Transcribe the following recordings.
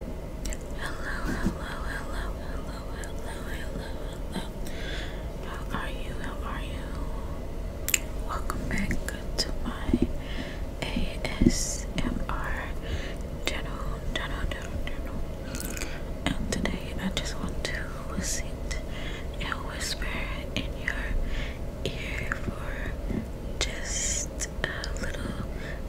Hello, hello, hello, hello, hello, hello, hello. How are you? How are you? Welcome back to my ASMR channel, channel, channel, channel. And today I just want to sit and whisper in your ear for just a little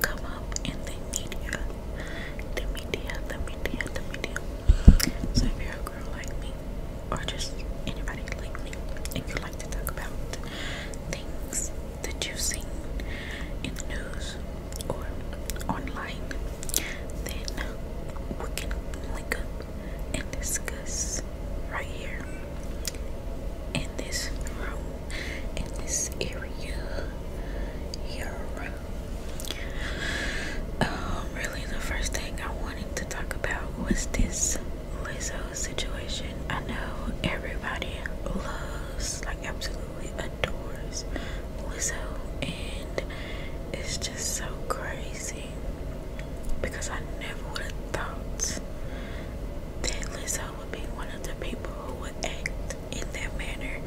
come up in the media. The media, the media, the media. So if you're a girl like me, or just anybody like me, and you like to talk about things that you've seen in the news or online, then we can link up and discuss right here in this room, in this area here. Um, really, the first thing I wanted to talk about was this Lizzo situation. I know everybody loves, like, absolutely adores Lizzo, and it's just so crazy because I never would have thought that Lizzo would be one of the people who would act in that manner.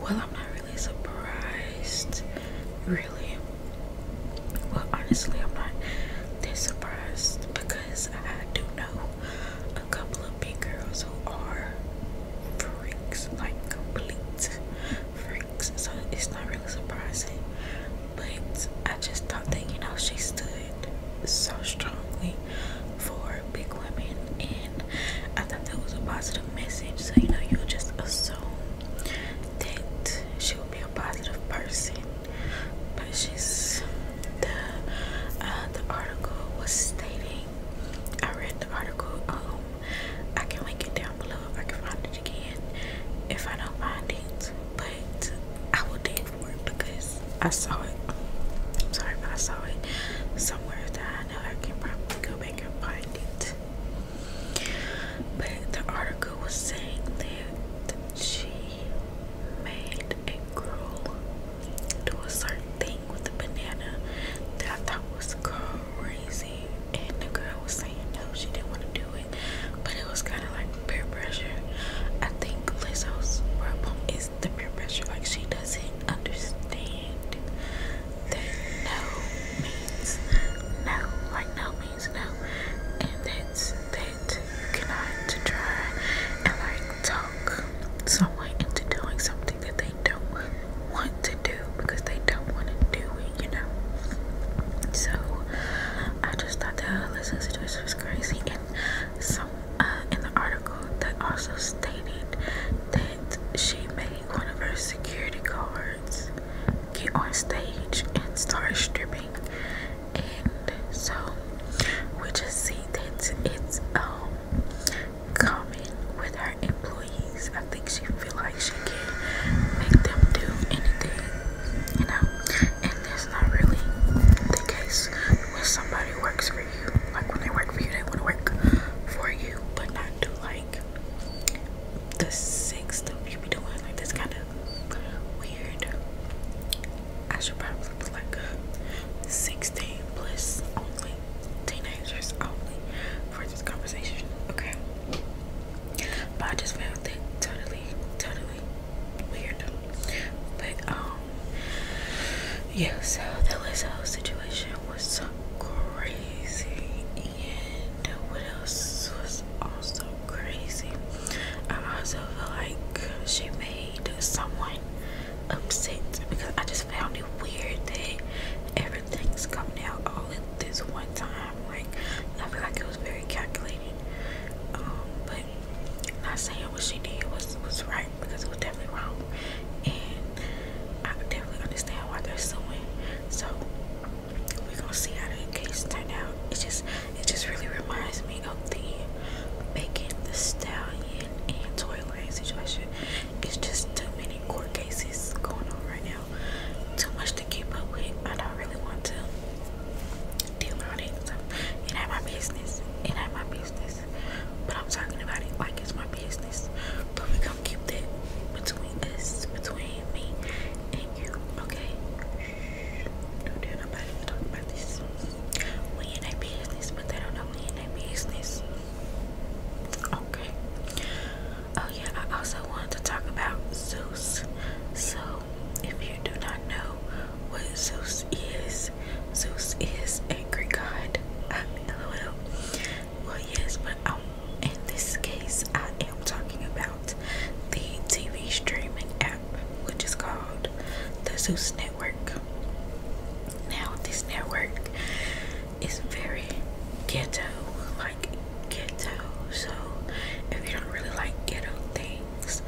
Well, I'm not really surprised, really. Well, honestly, I'm not that surprised because I do know a couple of big girls who are freaks, like complete freaks. So it's not really surprising, but I just thought that you know she stood so strongly for big women and I thought that was a positive message so you know you just assume that she will be a positive person but she's the uh, the article was stating I read the article um I can link it down below if I can find it again if I don't find it but I will then because I saw it. I'm sorry, but I saw it somewhere that I know I can probably go back and find it. But the article was saying that she made a girl do a certain thing with a banana that I thought was crazy. And the girl was saying no, she didn't want to do it. But it was kind of like peer pressure. I think Lizzo's problem is the peer pressure like she doesn't understand that no means no like no means no and that's that you cannot try and like talk someone into doing something that they don't want to do because they don't want to do it you know so I just thought that whole listening situation was crazy so, uh, in the article, that also stated that she made one of her security guards get on stage and start stripping, and so we just see that it's um common with her employees. I think she feel like she can make them do anything, you know, and that's not really the case when somebody works like when they work for you, they want to work for you, but not do like the sick stuff you be doing. Like that's kind of weird. I should probably do like 16 plus only, teenagers only for this conversation. Okay, but I just found that totally, totally weird. But um yeah, so that was whole situation was crazy and what else was also crazy. I also feel like she made someone upset because I just found it weird that everything's coming out all at this one time. Like I feel like it was very calculated. Um, but not saying what she did was was right because it was definitely wrong, and I definitely understand why they're suing. So we're gonna see how the case turned out. It just it just really reminds me of the making the stallion and Toyland situation. It's just too many court cases going on right now. Too much to keep up with. I don't really want to deal with it. So not ain't my business. It ain't my business. But I'm talking about it like it's my business. But we gonna keep that between us, between me and you, okay? Don't tell nobody we about this. We in their business, but they don't know we in their business. Okay. Oh yeah, I also wanted to talk about Zeus. So if you do not know what Zeus is. Zeus is angry god. I mean, LOL. Well, yes, but um, in this case, I am talking about the TV streaming app, which is called the Zeus Network. Now, this network is very ghetto, like ghetto. So, if you don't really like ghetto things,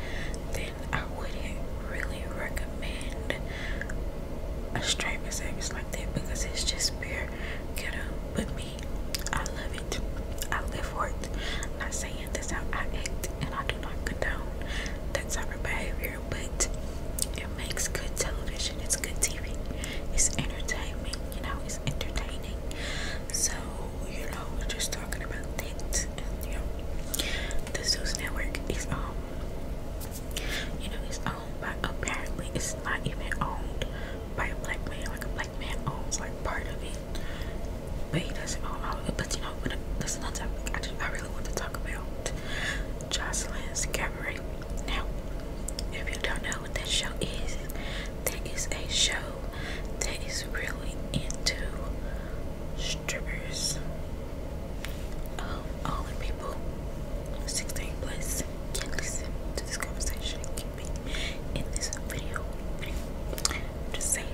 then I wouldn't really recommend a streaming service like that because it's just pure ghetto. But me, I love it. I live for it. I'm not saying this how I act, and I do not condone that type of behavior, but it makes good television. It's good TV. It's entertainment. You know, it's entertaining. So you know, we're just talking about things. you know, the Zeus Network is um you know, it's owned by apparently it's not even owned by a black man. Like a black man owns like part of it, but he doesn't own all of it. But you know, but uh, that's another topic I, just, I really want to talk about. Jocelyn's Cabaret. Now, if you don't know what that show is, that is a show that is really into strippers, um, all people 16 plus can listen to this conversation can be in this video. just saying.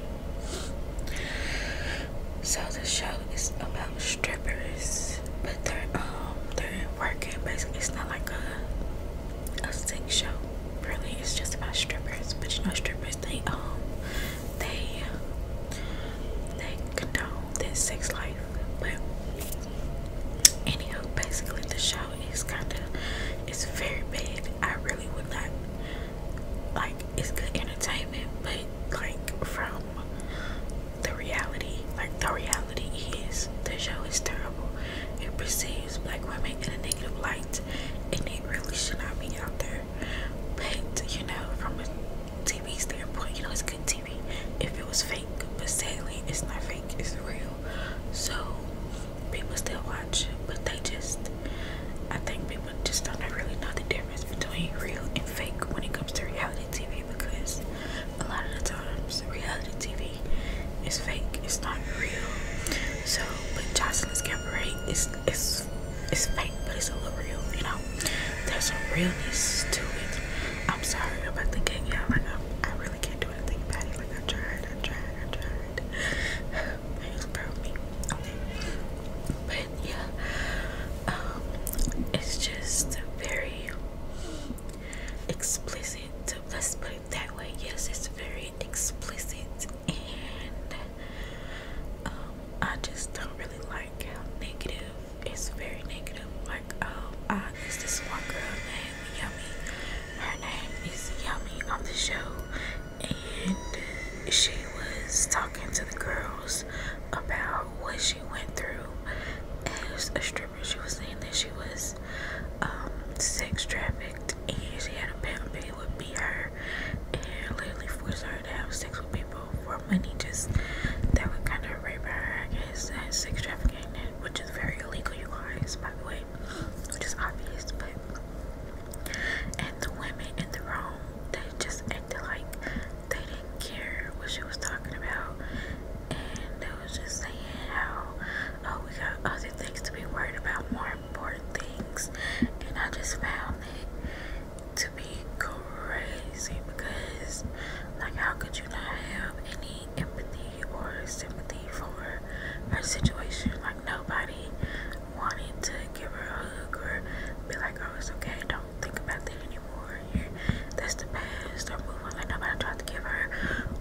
So the show is about strippers, but they're um they're working. Basically, it's not like a a sex show. Really, it's just about strippers. But you know, strippers they um they they condone this sex life. But anyhow, basically the show is kinda it's very bad. I really would not like it's good entertainment but like from the reality like the reality is the show is terrible. It perceives black women in a negative light and it really should not be out there. But you know, from a TV standpoint, you know, it's good TV if it was fake, but sadly, it's not fake, it's real. So, people still watch, but they just, I think people just don't really know the difference between real and fake when it comes to reality TV because a lot of the times, reality TV is fake, it's not real. So, but Jocelyn's right is, is it's fake, but it's a little real, you know. There's a realness to it. I'm sorry I'm about the game, y'all. Like I, really can't do anything about it. Like I tried, I tried, I tried. It's probably okay, but yeah, um, it's just very explicit. Let's put it that way. Yes, it's very explicit and um, I just don't really like how negative it's very negative. Like, oh, uh, it's this one girl named Yummy. Her name is Yummy on the show, and she was talking to the girls about what she went through as a stripper. She was saying that she was um, sex trafficked, and she had a pimp, and would beat her and literally forced her to have sex with people for money just that would kind of rape her I guess that's extravagant which is very illegal you guys by the way which is obvious but and the women in the room they just acted like they didn't care what she was talking about and they was just saying how oh we got other things to be worried about more important things and I just found it to to crazy because, like, how could you not have any empathy or sympathy for her situation? Like, nobody wanted to give her a hug or be like, oh, it's okay, don't think about that anymore. that's the past or move on. Like, nobody tried to give her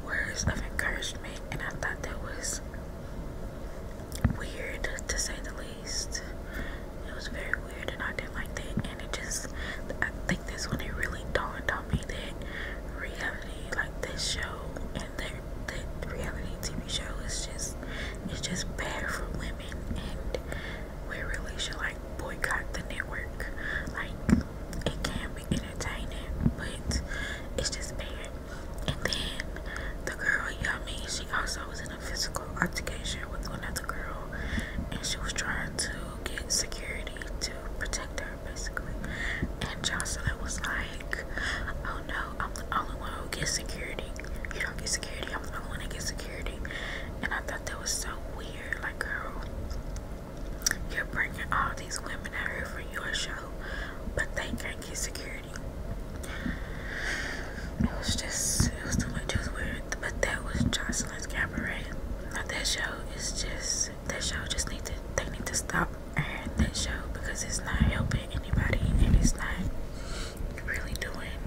words of encouragement, and I thought that was weird to say the least taste. It was very weird, and I didn't like that. And it just, I think that's when it really dawned on me that reality, like this show and that that reality TV show, is just, it's just bad for women, and we really should like boycott the network. Like it can be entertaining, but it's just bad. And then the girl Yummy, she also was physical altercation with another girl, and she was trying to get security to protect her, basically. And Jocelyn was like, "Oh no, I'm the only one who gets security. You don't get security. I'm the only one who gets security." And I thought that was so weird. Like, girl, you're bringing all these women here for your show, but they can't get security it was just it was too much. It was weird. But that was Jocelyn's Cabaret. Not that show It's just that show just need to they need to stop that show because it's not helping anybody and it's not really doing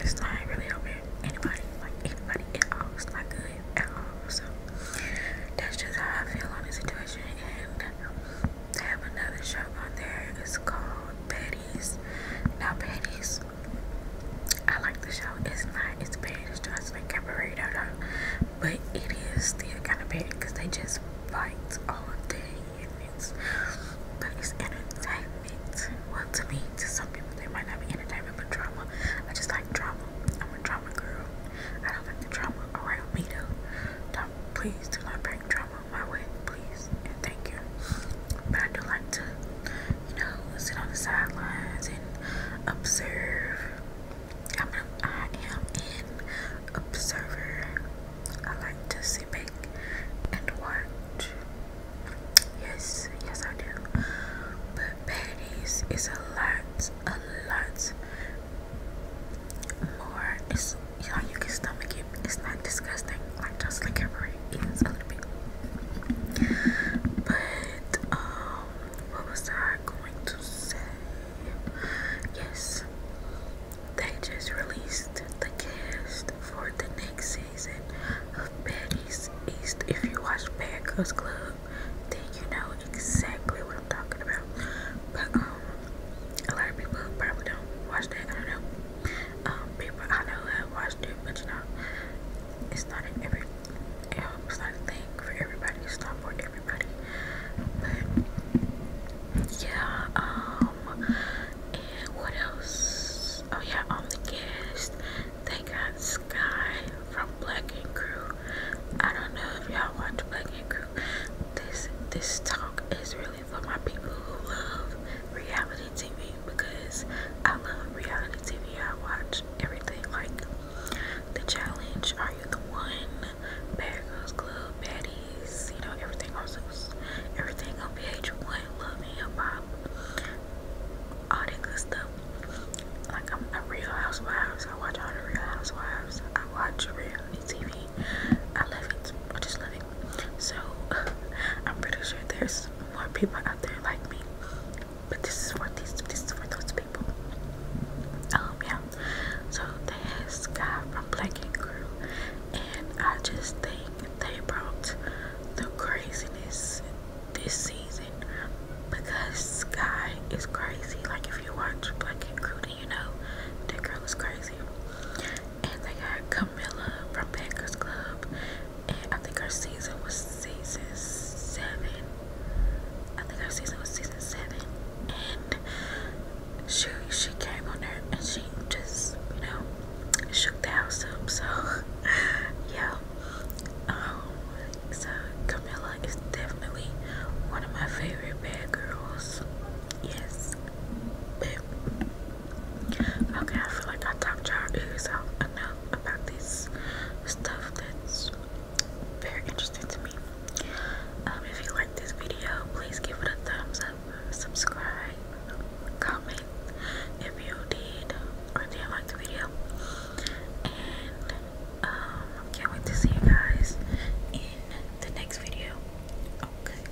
it's not really helping anybody like anybody at all. It's good at all. So that's just how I feel on the situation and they have another show on there. It's called Betty's. Now Betty's I like the show. It's not as bad as Just Like Cabaret, But it is still kind of bad because they just fight all day and it's, but it's entertainment. Well, to me, to some people, they might not be entertainment, but drama. I just like drama. I'm a drama girl. I don't like the drama around me though. Don't, please do not bring drama my way, please, and thank you. But I do like to, you know, sit on the sidelines and observe. I'm an, I am an observer. I like to see, back and watch. Yes, yes, I do. But Patty's is a lot, a lot more. It's, you know, you can stomach it. It's not disgusting i just like every is a But um what was I going to say? Yes. They just released the cast for the next season of Betty's East. If you watch Bad Girls Club, then you know exactly what I'm talking about. But um a lot of people probably don't watch that, I don't know um, people I know have watched it, but you know, it's not an every, it's not a thing for everybody. It's not for everybody. But yeah, um, and what else? Oh yeah, on the guest, they got Sky from Black and Crew. I don't know if y'all watch Black and Crew. This this talk is really for my people who love reality TV because I love reality TV. I watch everything like The Challenge, Are You the One, Bad Girls Club, Baddies, you know, everything on everything on VH1, Love Me Hip Hop, all that good stuff. Like I'm a Real Housewives, I watch all the Real Housewives. I watch reality TV. I love it. I just love it. So I'm pretty sure there's more people out there like me. But this is for these this is for those people. Um yeah. So this guy from Black and Crew and I just think they brought the craziness this season because Sky is crazy. Like if you watch Black and Crew then you know that girl is crazy. And they got Camilla from Packers Club and I think our season was season seven. I think our season was season seven, and she she came on there and she just you know shook the house up. So yeah, um, so Camilla is definitely one of my favorite bad girls. Yes, but Okay, I feel like I talked y'all ears out enough about this stuff that's very interesting to me. Um, if you like this video, please give it a thumbs up, subscribe, comment if you did or didn't like the video. And um, I can't wait to see you guys in the next video. Okay.